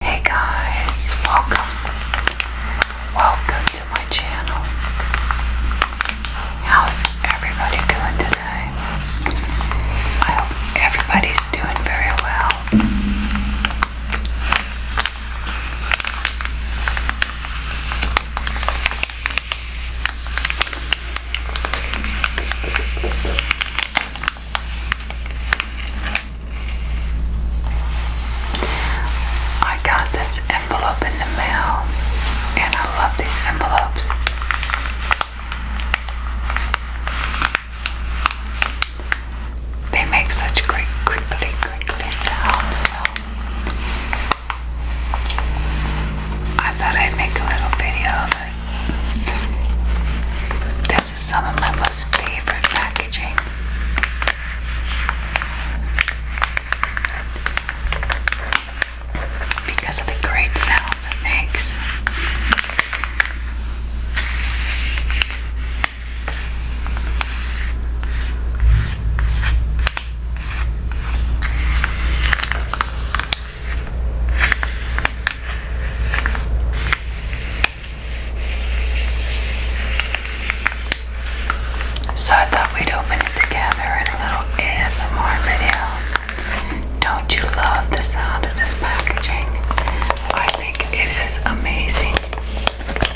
Hey guys, welcome. Welcome to my channel. How's everybody doing today? I hope everybody's doing very well. I got this envelope in the mail, and I love these envelopes. They make such great crinkly, crinkly sounds. So I thought I'd make a little video of it. This is some of my most favorite packaging. Because of the great sounds it makes. So I thought we'd open it together in a little ASMR video. Don't you love the sound of this packaging? I think it is amazing.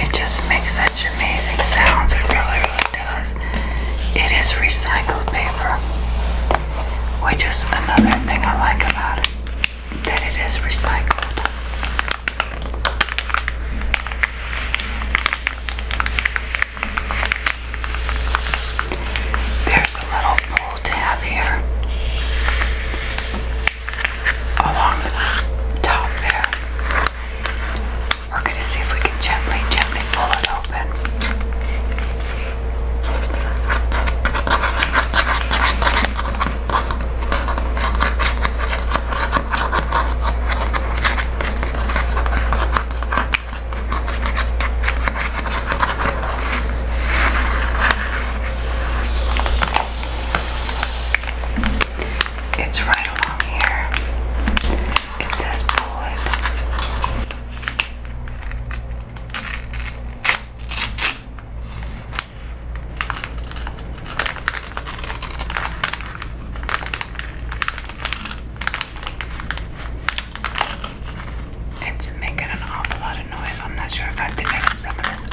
It just makes such amazing sounds, it really, really does. It is recycled paper, which is another thing I like about it, that it is recycled. There's a little cool to have here along the top there. We're going to see if we can gently, gently pull it open. It's right along here. It says pull it's making an awful lot of noise. I'm not sure if I've taken some of this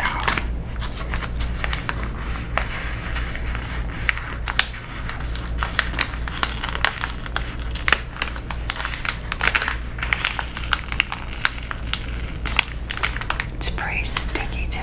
It's pretty sticky too.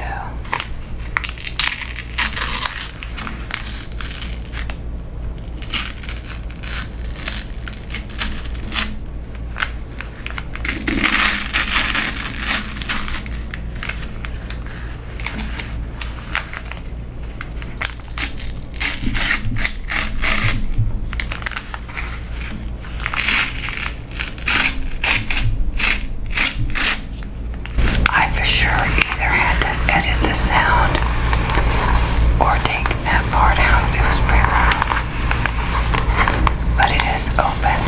I for sure either had to edit the sound or take that part out. It was pretty but it is open.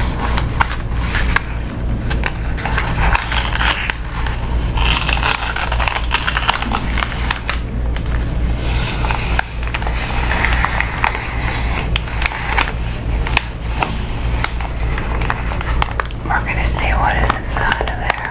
We're going to see what is inside of there.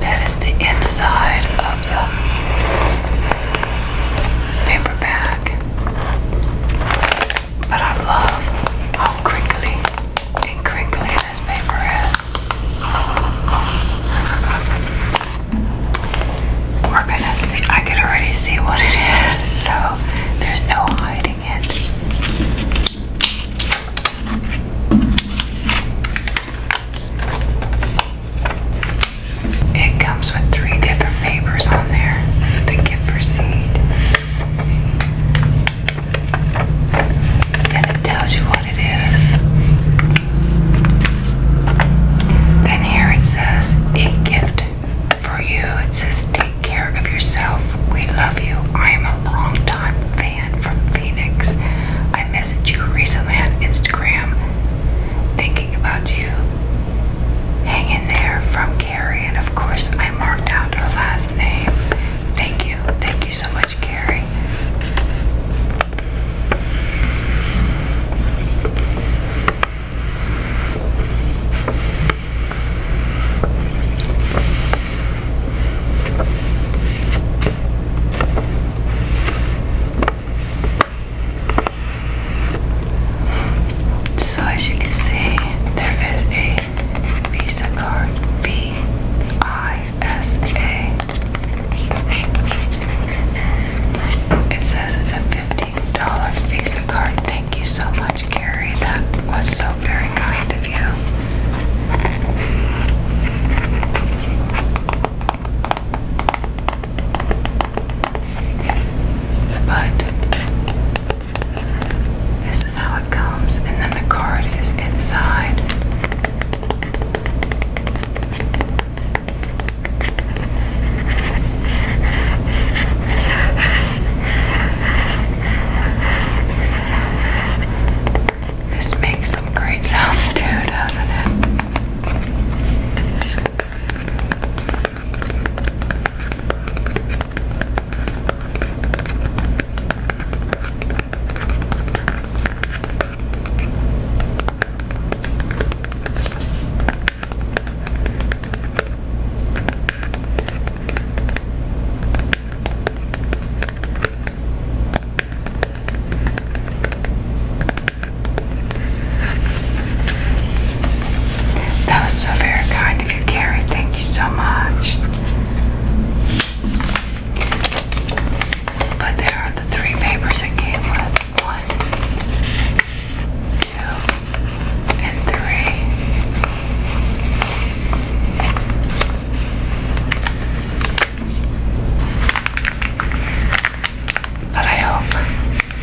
That is the inside of the paper bag. But I love how crinkly and crinkly this paper is. We're gonna see, I can already see what it is, so there's no hiding it. It comes with three different papers on there the gift receipt, and it tells you what it is. Then here it says a gift for you. It says. Take care of yourself. We love you. I am a long-time fan from Phoenix. I messaged you recently on Instagram thinking about you. Hang in there from Carrie, and of course, I marked out her last name. Thank you. Thank you so much, Carrie. So as you can see, there is a Visa card, B I S A. It says it's a $50 Visa card. Thank you so much much, Carrie. That was so very kind of you. But this is how it comes, and then the card is inside. This makes some great sounds too, doesn't it? That was so very kind of you, Carrie. Thank you so much. But there are the three papers it One, two, and three. But I hope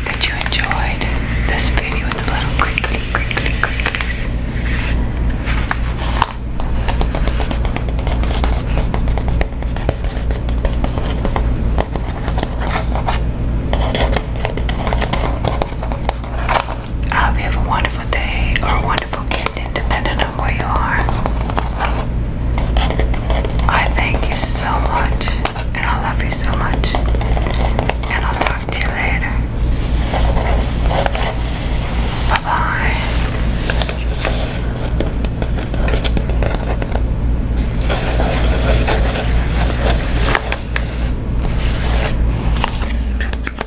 that you enjoyed this video with the little crinkly, crinkly, crinklies. I you have a wonderful day or a wonderful evening, depending on where you are. I thank you so much, and I love you so much, and I'll talk to you later. Bye bye.